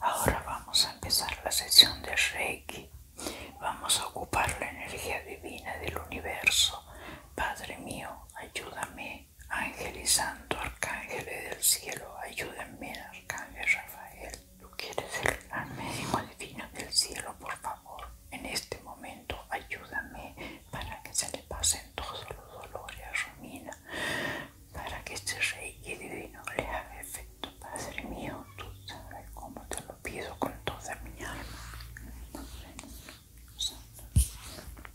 Ahora vamos a empezar la sesión de Reiki. Vamos a ocupar la energía divina del universo. Padre mío, ayúdame ángel y santo, arcángeles del cielo, ayúdenme, arcángel Rafael. Tú quieres ser el médico divino del cielo, por favor, en este momento ayúdame para que se le pasen todos los dolores a Romina, para que este rey y divino le haga efecto. Padre mío, tú sabes cómo te lo pido con toda mi alma. Santo.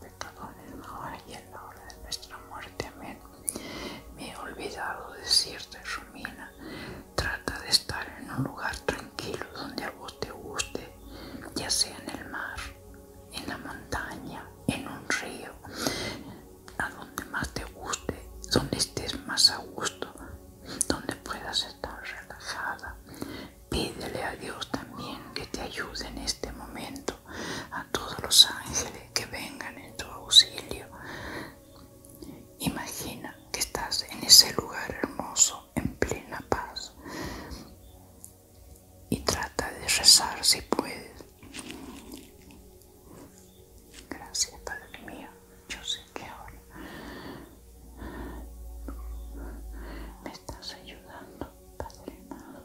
pecadores, ahora y en la hora de nuestra muerte. Me he olvidado decirte, Romina, trata de estar en un lugar tranquilo donde a vos te guste, ya sea en el mar, en la montaña, en un río, a donde más te guste, donde estés más a gusto, donde puedas estar relajada. Pídele a Dios también que te ayude en este momento a todos los ángeles que vengan en tu auxilio. Imagina que estás en ese lugar hermoso, en plena paz, y trata de rezar si puedes. Gracias, Padre mío. Yo sé que ahora me estás ayudando, Padre amado.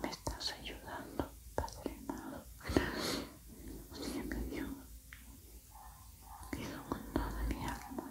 Me estás ayudando, Padre Siempre Dios. que con toda mi alma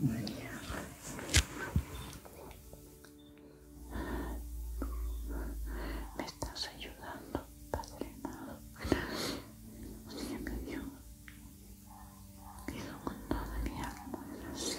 Me estás ayudando, Padre Gracias, Siempre Dios. con mi alma gracias.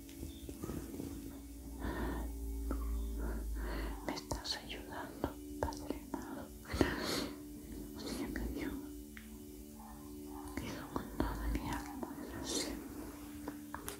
Me estás ayudando, Padre amado. Gracias, mi Dios. Pido con toda mi alma gracias. Gracias,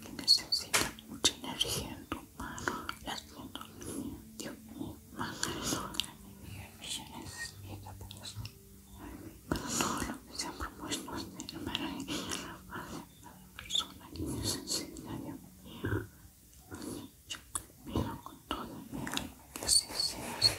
que necesita mucha energía en tu mano. Las manos, Dios mío, manda millones y capaz pero todo lo que se ha propuesto este hermano y la madre la persona que necesita Dios mío yo te con toda mi alma que así seas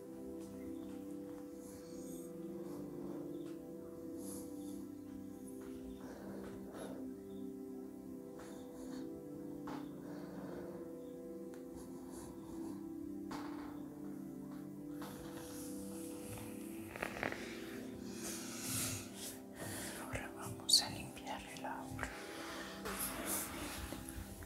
Ahora vamos a limpiar el aura.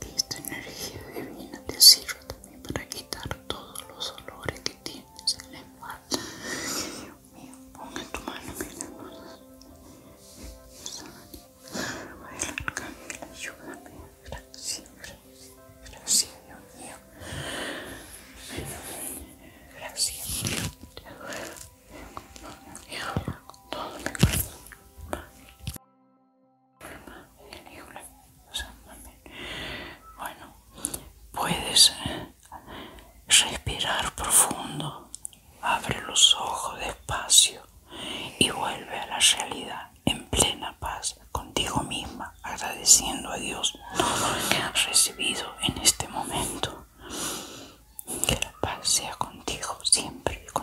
que esta energía divina te sirva también para quitar todos los olores que tienes en la Dios mío, ponga tu mano en gracias, mío. Gracias, Todo bueno, puedes respirar profundo, abre los ojos despacio y vuelve a la realidad en plena paz contigo misma, agradeciendo a Dios todo lo que has recibido en este momento. Que la paz sea contigo siempre y con